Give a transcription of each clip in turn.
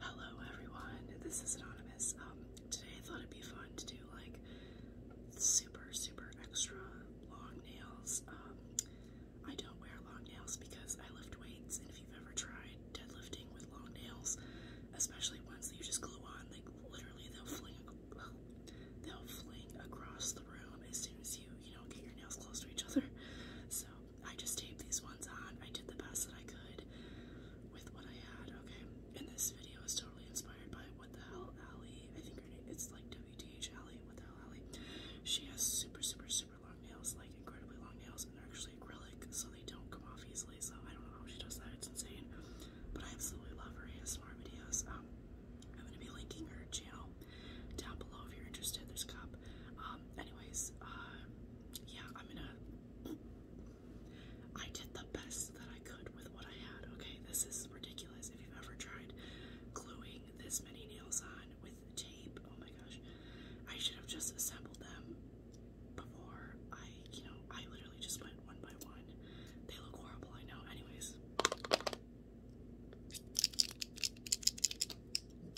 Hello everyone, this is Anonymous. Um, today I thought it'd be fun to do like super, super extra long nails. Um, I don't wear long nails because I lift weights, and if you've ever tried deadlifting with long nails, especially ones that you just glue on, like literally they'll fling, they'll fling across the room as soon as you, you know, get your nails close to each other. So I just taped these ones on. I did the best that I could with what I had, okay? And this video is totally inspired by What the Hell Ali. I think her name it's like WTH Ali. What the Hell Ali? She has super, super, super long nails, like incredibly long nails, and they're actually acrylic, so they don't come off easily. So I don't know how she does that, it's insane. But I absolutely love her ASMR videos. Um, I'm gonna be linking her channel down below if you're interested. There's a cup. Um, anyways, uh, yeah, I'm gonna. I did the best that I could with what I had, okay? This is ridiculous. If you've ever tried gluing this many nails on with tape, oh my gosh, I should have just assembled them before I, you know, I literally just went one by one. They look horrible, I know. Anyways.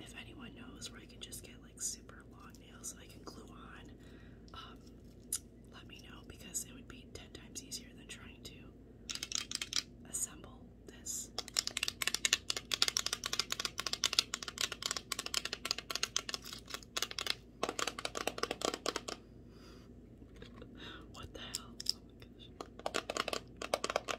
if anyone knows where I can just get like super long nails that I can glue on, um, let me know because it would be 10 times easier than trying to assemble this. what the hell? Oh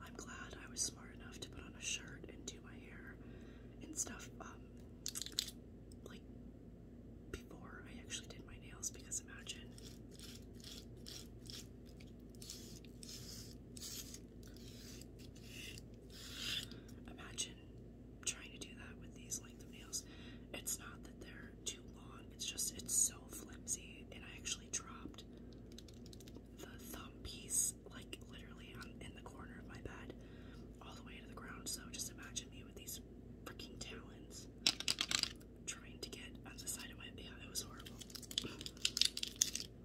I'm glad I was smart enough to put on a shirt and do my hair and stuff um, like before I actually did my nails because imagine Imagine trying to do that with these length of nails. It's not that they're too long, it's just it's so flimsy. And I actually dropped the thumb piece like literally on, in the corner of my bed all the way to the ground. So just imagine me with these freaking talons trying to get on the side of my yeah, it was horrible.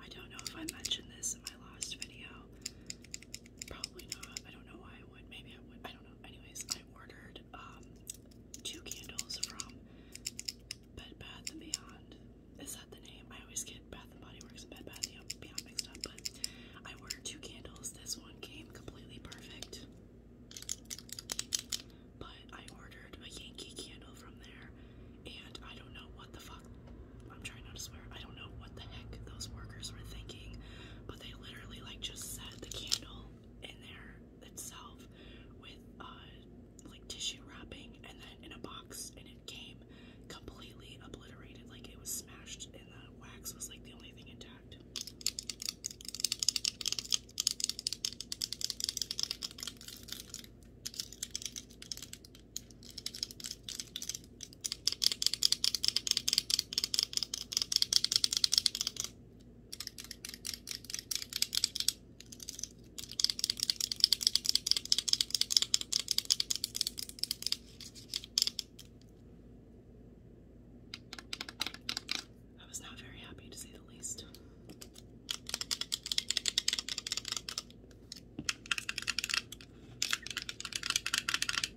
I don't know if I mentioned this in my last video. Probably not. I don't know why I would. Maybe I would. I don't know anyways, I ordered um, two candles from Bed Bath and Beyond. Is that the name? I always get Bath and Body Works and Bed Bath and Beyond mixed up, but I ordered two candles. This one came completely perfect. But I ordered a Yankee candle from there, and I don't know what the fuck. I'm trying not to swear. I don't know what the heck those workers were thinking but they literally like just set the candle in there itself with uh like tissue wrapping and then in a box and it came completely obliterated like it was smashed and the wax was like the only thing intact I was not very happy to say the least.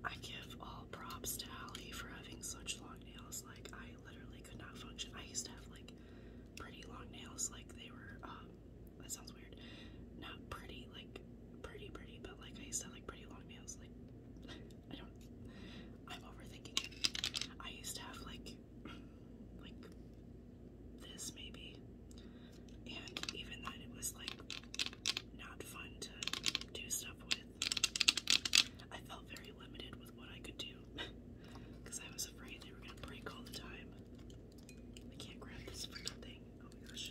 I give all props to Allie for having such long nails. Like, I literally could not function. I used to have, like, pretty long nails. Like, they were, um, that sounds weird. Not pretty, like, pretty, pretty, but, like, I used to like, pretty long nails. Like, I don't, I'm overthinking it. I used to have, like, like, this maybe and even then it was like not fun to do stuff with. I felt very limited with what I could do because I was afraid they were gonna break all the time. I can't grab this freaking thing. Oh my gosh.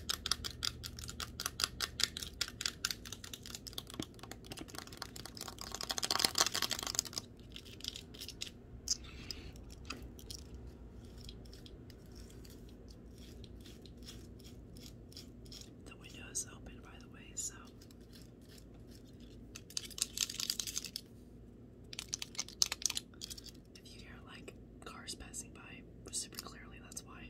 The window is open, by the way, so. If you hear like cars passing by super clearly, that's why.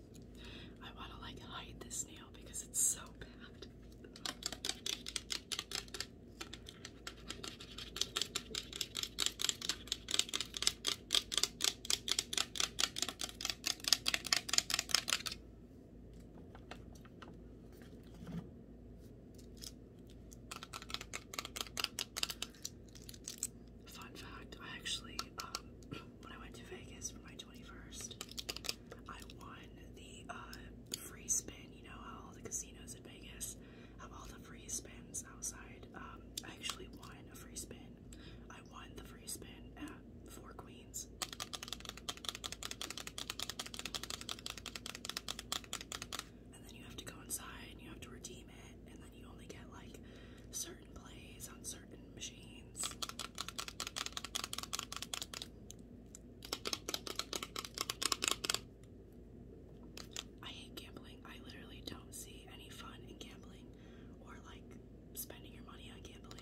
I want to like hide this nail because it's so bad. Fun fact, I actually, um, when I went to Vegas for my 21st, I won the uh, free spin. You know how all the casinos in Vegas have all the free spins outside. Um, I actually won a free spin. I won the free spin at Four Queens. And then you have to go inside and you have to redeem it, and then you only get like certain plays on certain machines. I hate gambling. I literally don't see any fun in gambling or like spending your money on gambling.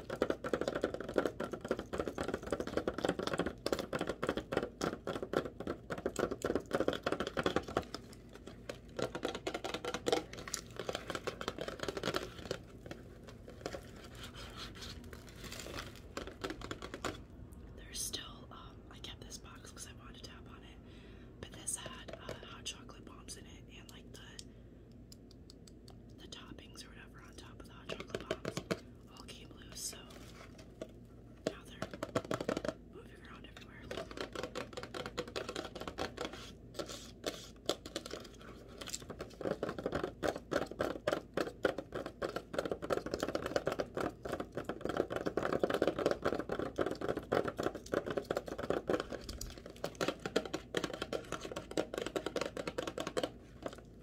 There's still, um, I kept this box because I wanted to tap on it, but this had uh, hot chocolate bombs in it and like the the toppings or whatever on top of the hot chocolate bombs all came loose, so now they're moving around everywhere.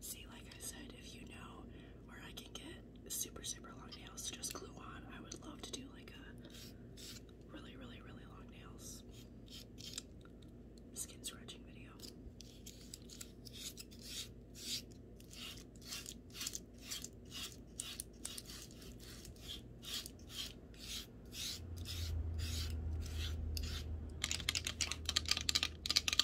See, like I said, if you know where I can get super, super long nails to just glue on, I would love to do like a really, really, really long nails skin scratching video.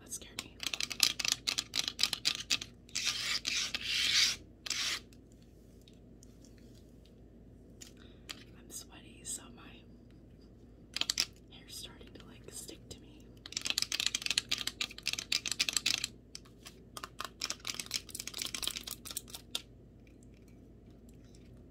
That scared me. I'm sweaty, so my hair's starting to like stick to me.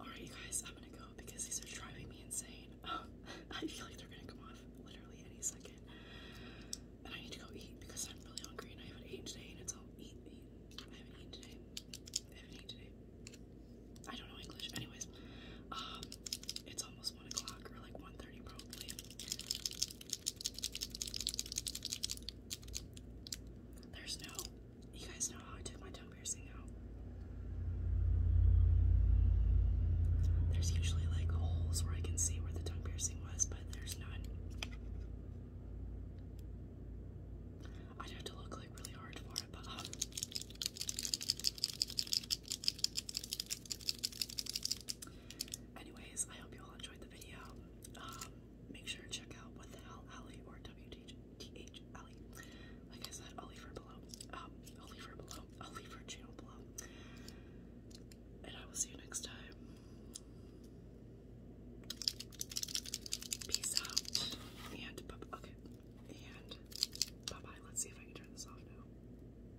Alright, you guys, I'm gonna go because these are driving me insane. I feel like they're gonna come off literally any second. And I need to go eat because I'm really hungry and I haven't eaten today and it's all eat, eat. I haven't eaten today. I haven't eaten today. I don't know English. Anyways, um, it's almost one o'clock or like 1.30 probably. There's no, you guys know how I took my tongue piercing out. There's usually like holes where I can see where the tongue piercing was, but there's none. I'd to look like really hard for it, but uh, anyways, I hope you all enjoyed the video. Um, make sure to check out What the Hell Alley or WTH Alley. Like I said, I'll leave her below. I'll leave her below. I'll leave her channel below. And I will see you next time. Peace out. And, okay. And bye bye. Let's see if I can turn this off now.